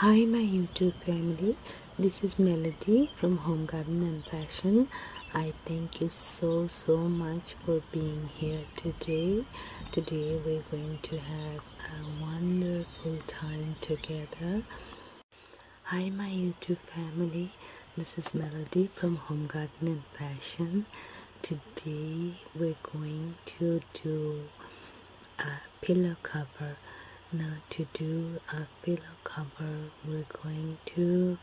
Hi my YouTube family, this is Melody from Home Garden and Fashion. I thank you so so much for being here today. Today we're going to have a wonderful time together. Hi my YouTube family, this is Melody from Home Garden and Fashion. Today we're going to do a pillow cover now to do a pillow cover we're going to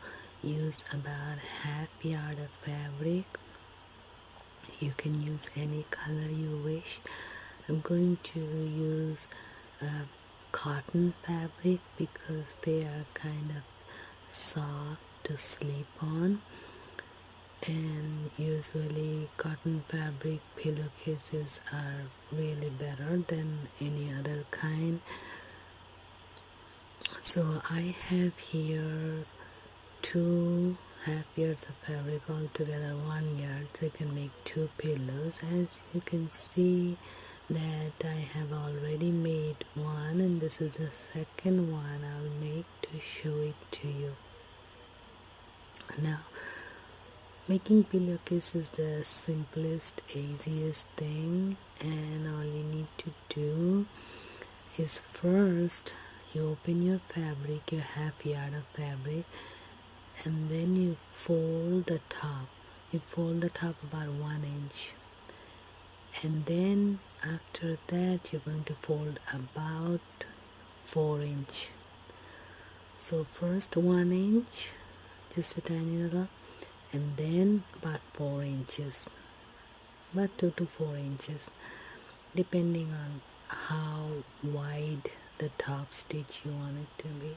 use about half yard of fabric you can use any color you wish i'm going to use uh, cotton fabric because they are kind of soft to sleep on and usually cotton fabric pillowcases are really better than any other kind so I have here two half yards of fabric all together one yard so I can make two pillows as you can see that I have already made one and this is the second one I'll make to show it to you now, making pillowcase is the simplest, easiest thing, and all you need to do is first you open your fabric, your half yard of fabric, and then you fold the top. You fold the top about one inch, and then after that, you're going to fold about 4 inch so first 1 inch just a tiny little and then about 4 inches but 2 to 4 inches depending on how wide the top stitch you want it to be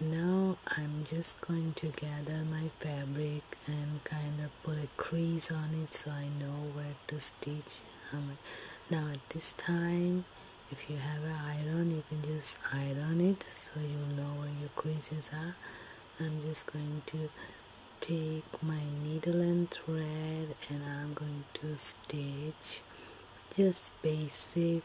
now I'm just going to gather my fabric and kind of put a crease on it so I know where to stitch now at this time if you have an iron you can just iron it so you know where your creases are I'm just going to take my needle and thread and I'm going to stitch just basic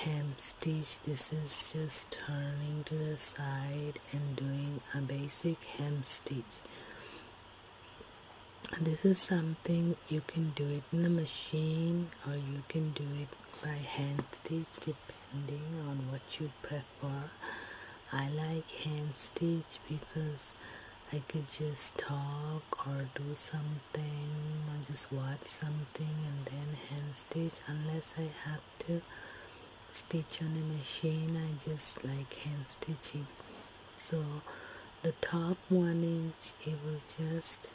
hem stitch this is just turning to the side and doing a basic hem stitch this is something you can do it in the machine or you can do it by hand stitch depending on what you prefer I like hand stitch because I could just talk or do something or just watch something and then hand stitch unless I have to stitch on a machine I just like hand stitching so the top one inch it will just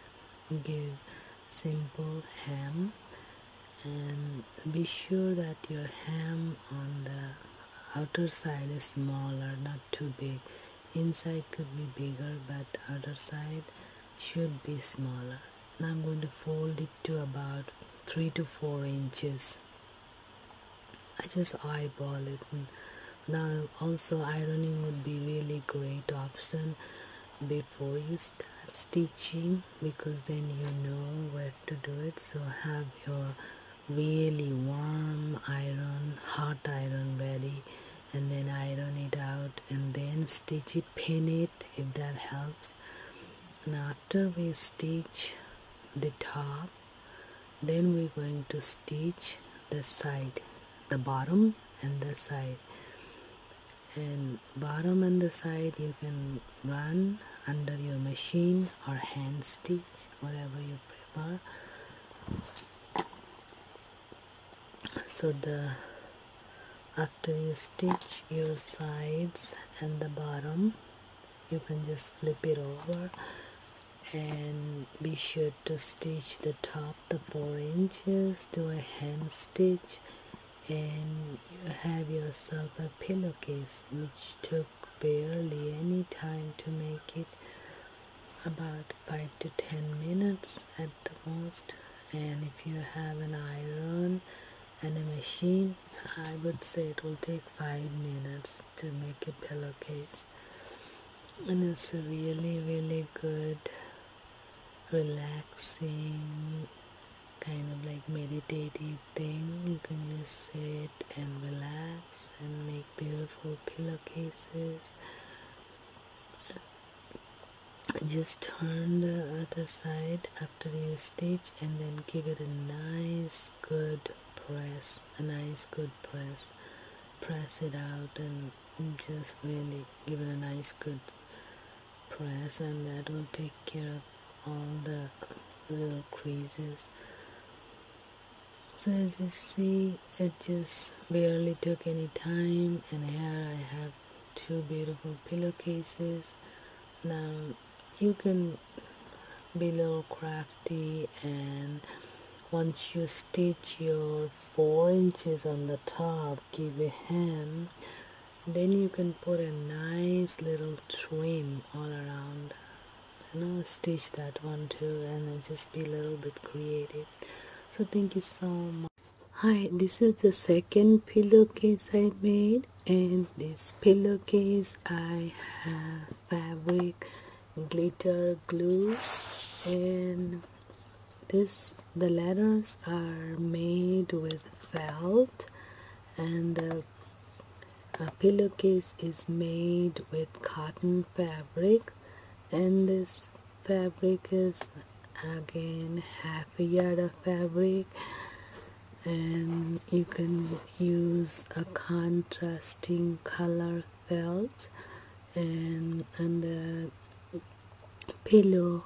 give simple hem and be sure that your hem on the outer side is smaller not too big inside could be bigger but outer side should be smaller now I'm going to fold it to about 3 to 4 inches I just eyeball it. Now also ironing would be really great option before you start stitching because then you know where to do it. So have your really warm iron, hot iron ready and then iron it out and then stitch it, pin it if that helps. And after we stitch the top then we're going to stitch the side the bottom and the side and bottom and the side you can run under your machine or hand stitch whatever you prefer so the after you stitch your sides and the bottom you can just flip it over and be sure to stitch the top the 4 inches do a hem stitch and you have yourself a pillowcase which took barely any time to make it about 5 to 10 minutes at the most and if you have an iron and a machine I would say it will take 5 minutes to make a pillowcase and it's a really really good relaxing kind of like meditative thing you can just sit and relax and make beautiful pillowcases just turn the other side after you stitch and then give it a nice good press a nice good press press it out and just really give it a nice good press and that will take care of all the little creases so as you see it just barely took any time and here I have two beautiful pillowcases now you can be a little crafty and once you stitch your four inches on the top give a hem then you can put a nice little trim all around I know stitch that one too and then just be a little bit creative so thank you so much hi this is the second pillowcase i made and this pillowcase i have fabric glitter glue and this the letters are made with felt and the pillowcase is made with cotton fabric and this fabric is again half a yard of fabric and you can use a contrasting color felt and the pillow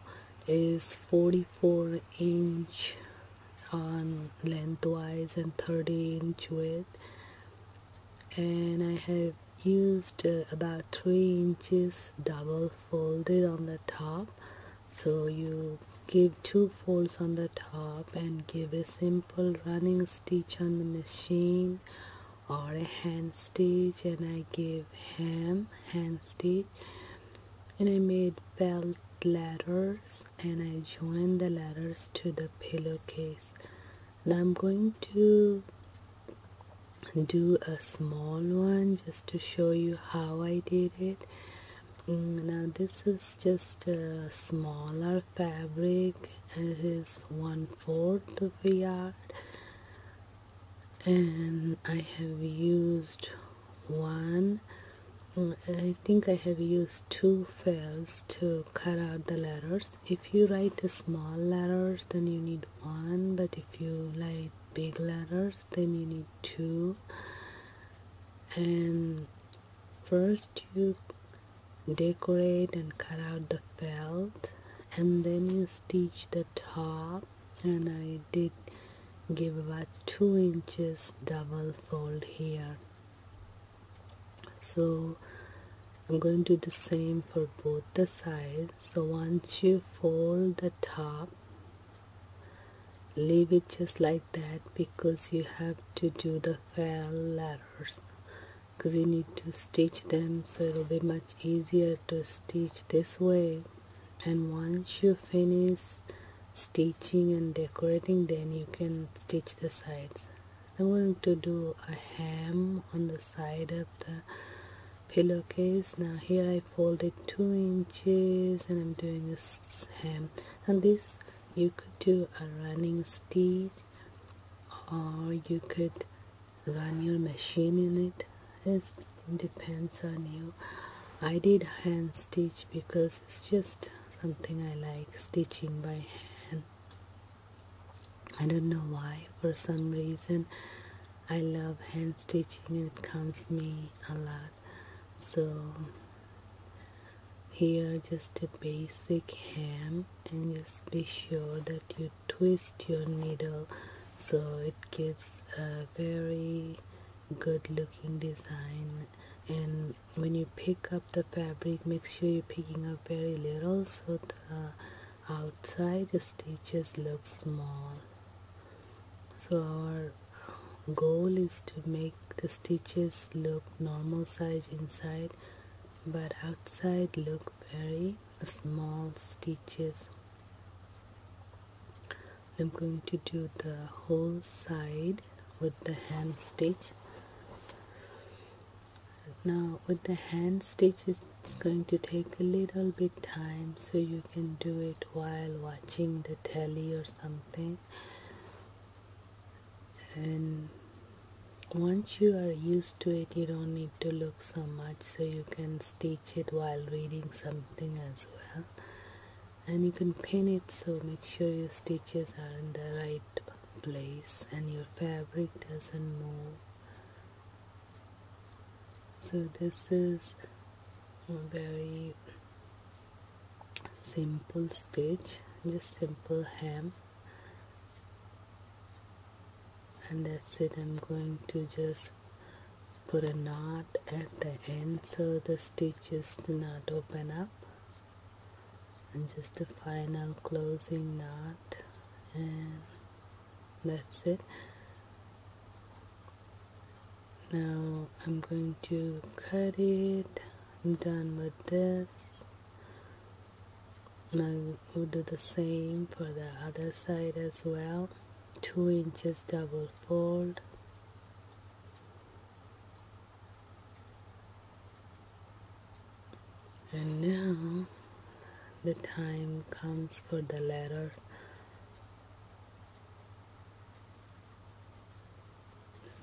is 44 inch on um, lengthwise and 30 inch width and I have used uh, about 3 inches double folded on the top so you give two folds on the top and give a simple running stitch on the machine or a hand stitch and I give him hand stitch and I made felt letters and I joined the letters to the pillowcase now I'm going to do a small one just to show you how I did it mm, now this is just a smaller fabric is one fourth of a yard and I have used one I think I have used two fails to cut out the letters if you write small letters then you need one but if you write big letters then you need two and first you decorate and cut out the felt and then you stitch the top and I did give about 2 inches double fold here so I'm going to do the same for both the sides so once you fold the top leave it just like that because you have to do the felt letters because you need to stitch them so it'll be much easier to stitch this way and once you finish stitching and decorating then you can stitch the sides I'm going to do a hem on the side of the pillowcase now here I folded two inches and I'm doing a hem and this you could do a running stitch or you could run your machine in it it depends on you I did hand stitch because it's just something I like stitching by hand I don't know why for some reason I love hand stitching and it comes me a lot so here just a basic hem and just be sure that you twist your needle so it gives a very good looking design and when you pick up the fabric make sure you're picking up very little so the outside stitches look small so our goal is to make the stitches look normal size inside but outside look very small stitches I'm going to do the whole side with the hand stitch now with the hand stitch, it's going to take a little bit time so you can do it while watching the telly or something and once you are used to it you don't need to look so much so you can stitch it while reading something as well and you can pin it so make sure your stitches are in the right place and your fabric doesn't move so this is a very simple stitch just simple hem and that's it I'm going to just put a knot at the end so the stitches do not open up and just a final closing knot and that's it now I'm going to cut it I'm done with this now we will do the same for the other side as well 2 inches double fold and now the time comes for the letters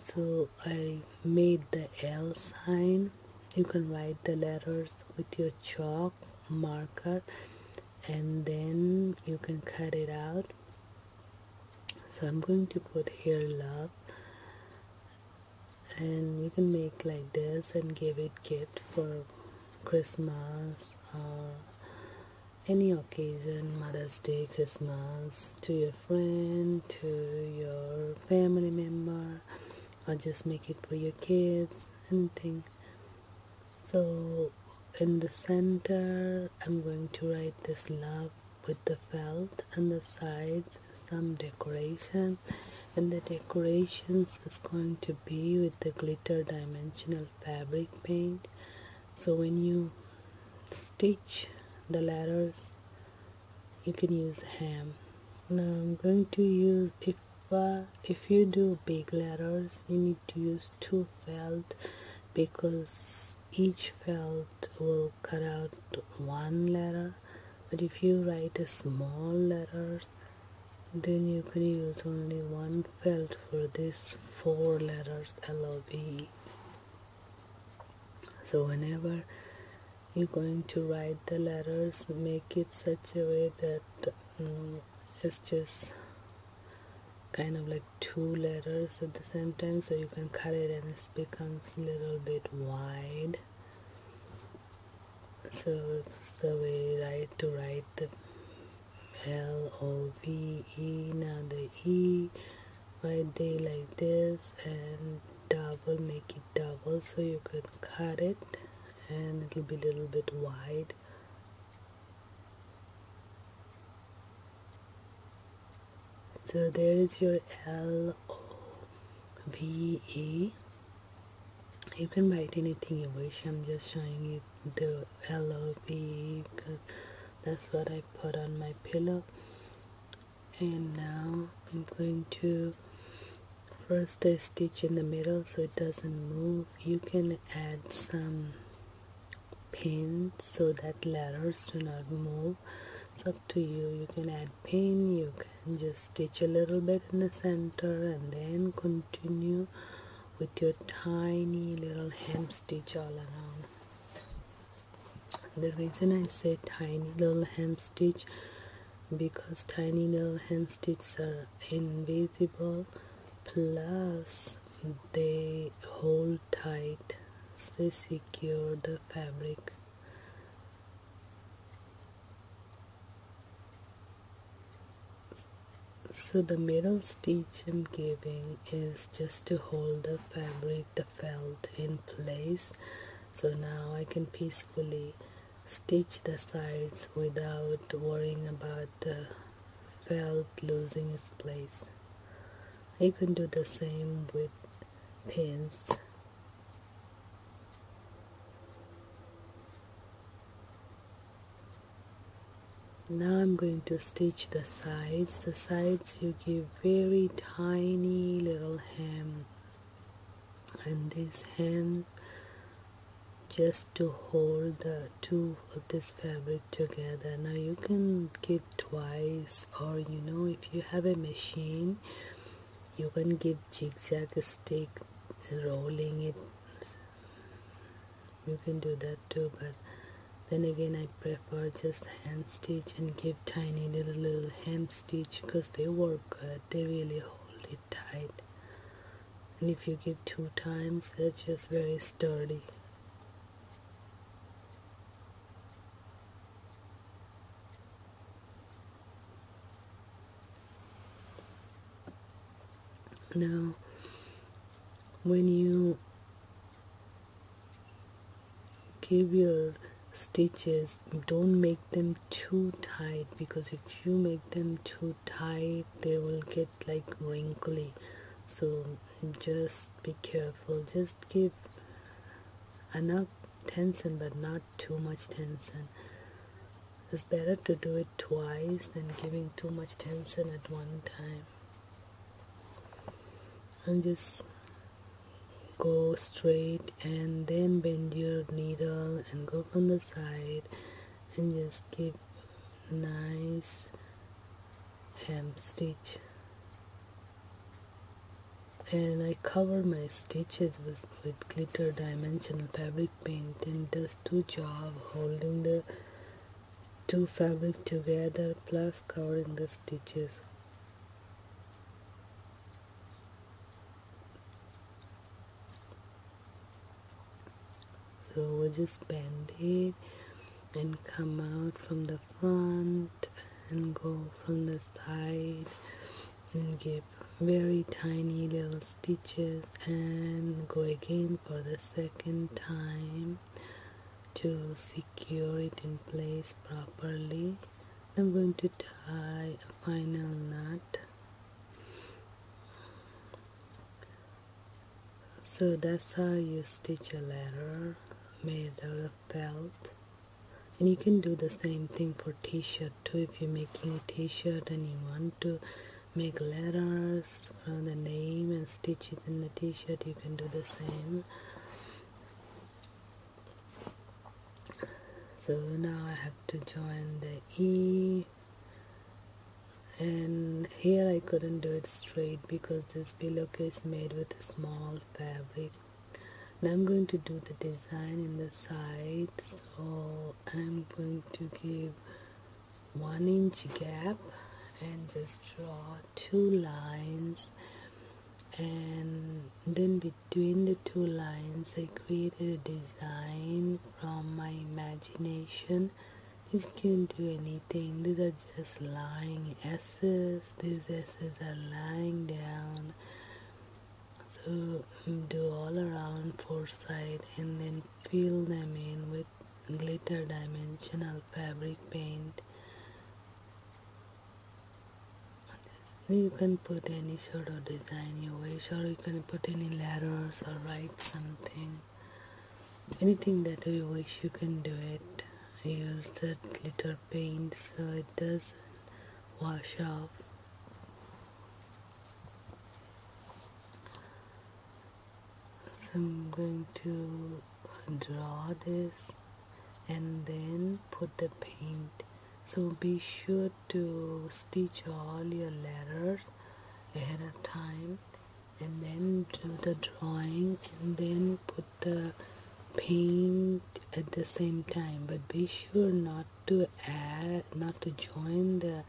so I made the L sign you can write the letters with your chalk marker and then you can cut it out so I'm going to put here love and you can make like this and give it gift for Christmas or uh, any occasion Mother's Day Christmas to your friend to your family member or just make it for your kids anything so in the center I'm going to write this love with the felt and the sides some decoration and the decorations is going to be with the glitter dimensional fabric paint so when you stitch the letters you can use hem now I'm going to use but if you do big letters you need to use two felt because each felt will cut out one letter but if you write a small letters then you can use only one felt for these four letters L O V E so whenever you're going to write the letters make it such a way that um, it's just kind of like two letters at the same time so you can cut it and it becomes a little bit wide so it's the way right to write the L O V E now the E right there like this and double make it it double so you could cut it and it'll be a little bit wide so there is your L O B E. you can write anything you wish I'm just showing you the L O B E because that's what I put on my pillow and now I'm going to first stitch in the middle so it doesn't move you can add some pins so that letters do not move it's up to you you can add pin you can just stitch a little bit in the center and then continue with your tiny little hem stitch all around the reason I say tiny little hem stitch because tiny little hand stitches are invisible plus they hold tight they secure the fabric so the middle stitch I'm giving is just to hold the fabric the felt in place so now I can peacefully stitch the sides without worrying about the felt losing its place. You can do the same with pins. Now I'm going to stitch the sides. The sides you give very tiny little hem and this hand just to hold the two of this fabric together now you can give twice or you know if you have a machine you can give zigzag stitch, rolling it you can do that too but then again I prefer just hand stitch and give tiny little little hem stitch because they work good they really hold it tight and if you give two times that's just very sturdy now when you give your stitches don't make them too tight because if you make them too tight they will get like wrinkly so just be careful just give enough tension but not too much tension it's better to do it twice than giving too much tension at one time and just go straight and then bend your needle and go from the side and just keep nice hem stitch and I cover my stitches with, with glitter dimensional fabric paint and does two job holding the two fabric together plus covering the stitches so we'll just bend it and come out from the front and go from the side and give very tiny little stitches and go again for the second time to secure it in place properly I'm going to tie a final knot so that's how you stitch a letter made out of felt. And you can do the same thing for t-shirt too. If you're making a t-shirt and you want to make letters from the name and stitch it in the t-shirt, you can do the same. So now I have to join the E and here I couldn't do it straight because this pillowcase made with a small fabric now I'm going to do the design in the side so I'm going to give one inch gap and just draw two lines and then between the two lines I create a design from my imagination. It's can't do anything. These are just lying S's. These S's are lying down. So do all around foresight and then fill them in with glitter dimensional fabric paint. You can put any sort of design you wish or you can put any letters or write something anything that you wish you can do it use that glitter paint so it doesn't wash off so I'm going to draw this and then put the paint so be sure to stitch all your letters ahead of time and then do the drawing and then put the paint at the same time but be sure not to add not to join the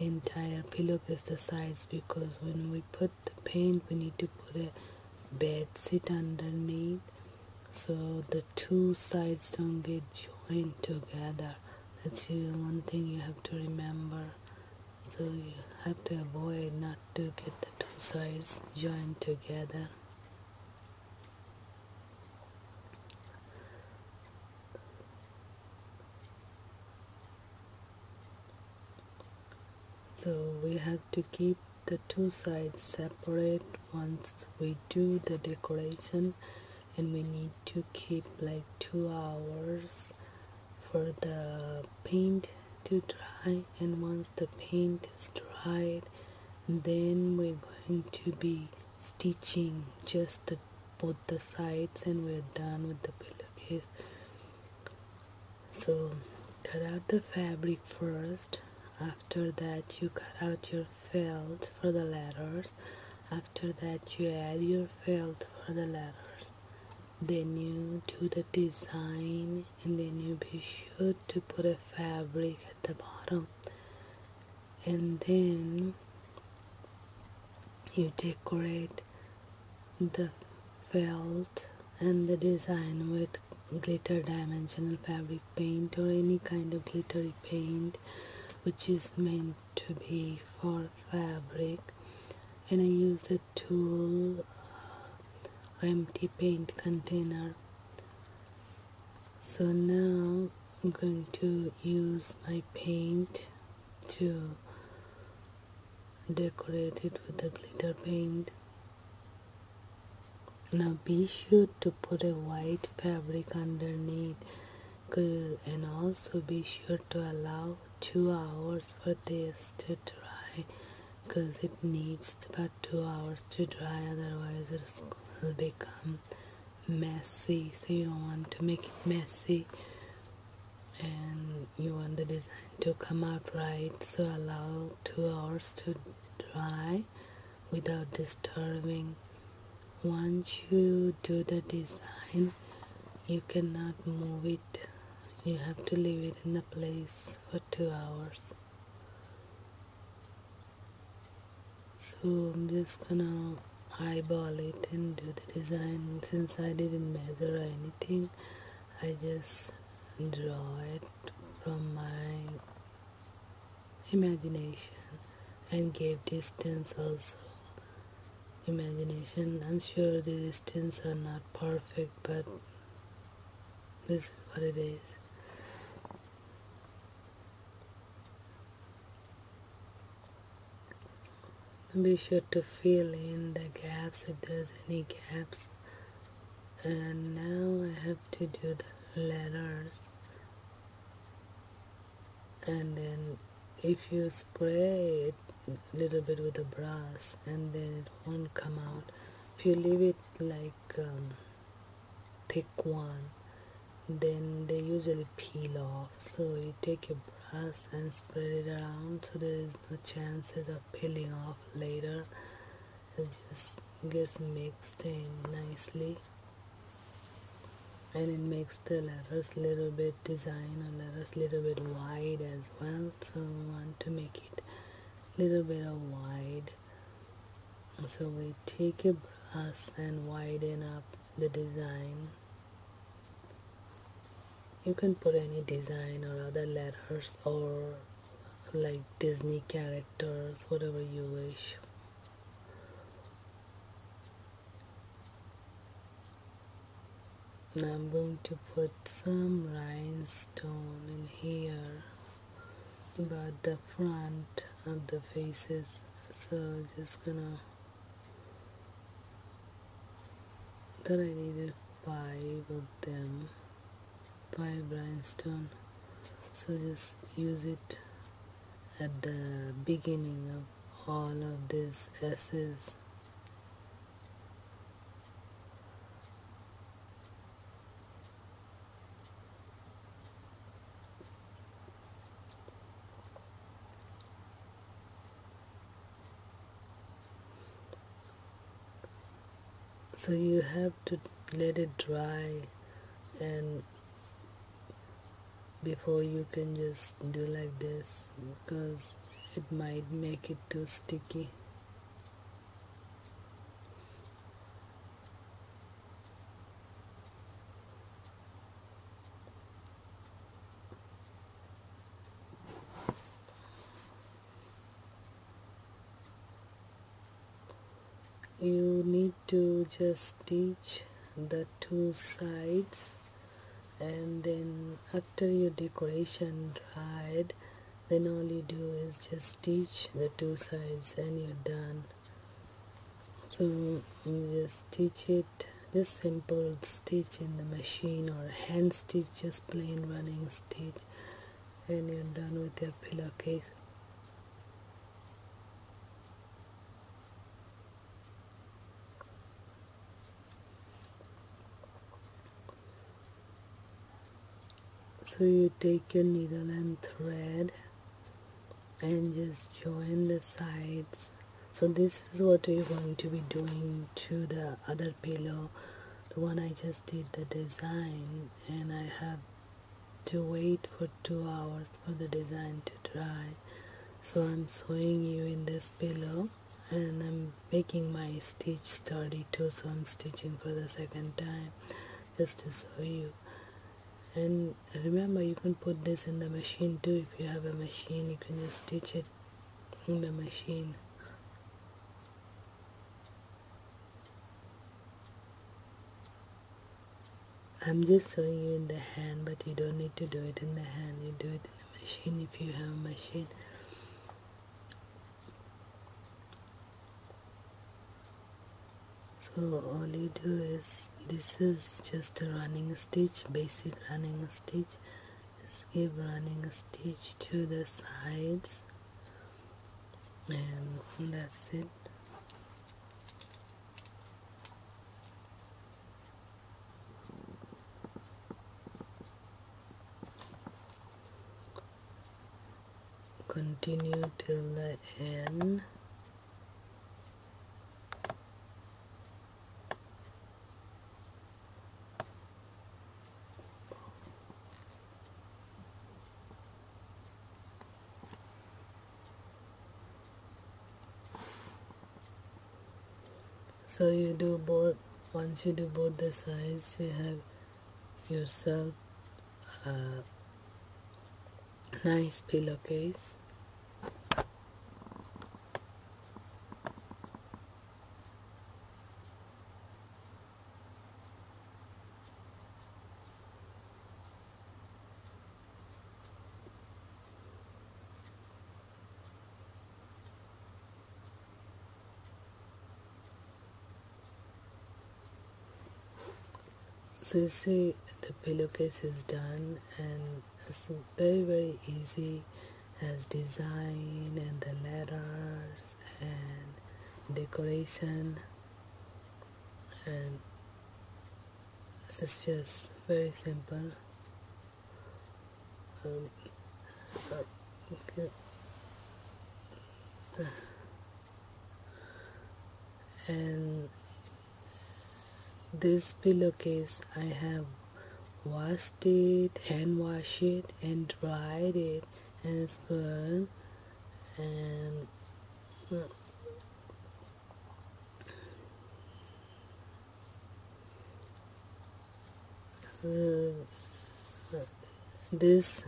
entire pillow because the sides because when we put the paint we need to put a bed sit underneath so the two sides don't get joined together that's the one thing you have to remember. So you have to avoid not to get the two sides joined together. So we have to keep the two sides separate once we do the decoration and we need to keep like two hours for the paint to dry and once the paint is dried then we're going to be stitching just both the sides and we're done with the pillowcase so cut out the fabric first after that you cut out your felt for the letters after that, you add your felt for the letters. Then you do the design, and then you be sure to put a fabric at the bottom. And then you decorate the felt and the design with glitter dimensional fabric paint or any kind of glittery paint which is meant to be for fabric and I use the tool uh, empty paint container so now I'm going to use my paint to decorate it with the glitter paint now be sure to put a white fabric underneath and also be sure to allow two hours for this to dry because it needs about two hours to dry otherwise it will become messy so you don't want to make it messy and you want the design to come out right so allow two hours to dry without disturbing once you do the design you cannot move it you have to leave it in the place for two hours so I'm just gonna eyeball it and do the design since I didn't measure or anything I just draw it from my imagination and gave distance also. Imagination. I'm sure the distance are not perfect, but this is what it is. be sure to fill in the gaps if there's any gaps and now I have to do the letters and then if you spray it a little bit with the brass and then it won't come out if you leave it like um, thick one then they usually peel off so you take your brass and spread it around so there is no chances of peeling off later it just gets mixed in nicely and it makes the letters little bit design or letters little bit wide as well so we want to make it little bit of wide so we take a brush and widen up the design you can put any design or other letters or like Disney characters whatever you wish and I'm going to put some rhinestone in here about the front of the faces so just gonna that I needed five of them five rhinestone so just use it at the beginning of all of these S's so you have to let it dry and before you can just do like this because it might make it too sticky you need to just stitch the two sides and then after your decoration dried then all you do is just stitch the two sides and you're done so you just stitch it just simple stitch in the machine or hand stitch just plain running stitch and you're done with your pillowcase so you take your needle and thread and just join the sides so this is what we're going to be doing to the other pillow the one I just did the design and I have to wait for two hours for the design to dry so I'm sewing you in this pillow and I'm making my stitch too, so I'm stitching for the second time just to show you and remember you can put this in the machine too if you have a machine you can just stitch it in the machine I'm just showing you in the hand but you don't need to do it in the hand you do it machine, if you have a machine. So all you do is, this is just a running stitch, basic running stitch. Skip running stitch to the sides and that's it continue till the end so you do both once you do both the sides you have yourself a nice pillowcase so you see the pillowcase is done and it's very very easy as design and the letters and decoration and it's just very simple um, and this pillowcase I have washed it, hand washed it and dried it and it's good this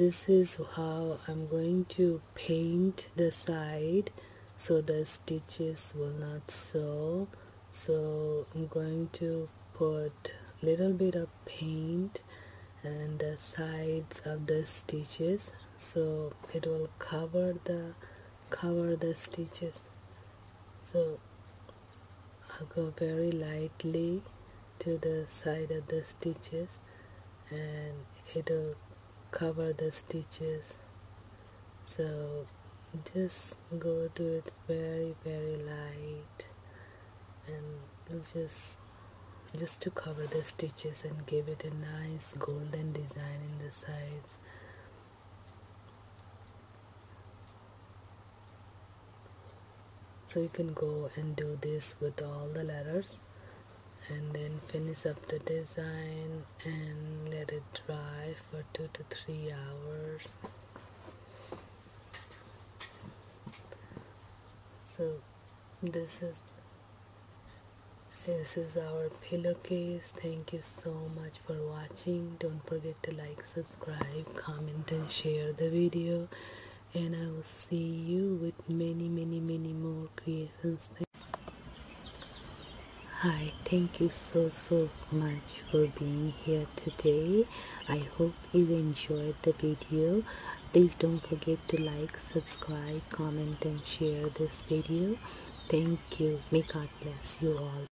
this is how I'm going to paint the side so the stitches will not sew so I'm going to put a little bit of paint on the sides of the stitches so it will cover the cover the stitches so I'll go very lightly to the side of the stitches and it'll cover the stitches so just go do it very very light and just just to cover the stitches and give it a nice golden design in the sides so you can go and do this with all the letters and then finish up the design and let it dry for two to three hours so this is this is our pillowcase thank you so much for watching don't forget to like subscribe comment and share the video and i will see you with many many many more creations hi thank you so so much for being here today i hope you enjoyed the video please don't forget to like subscribe comment and share this video thank you may god bless you all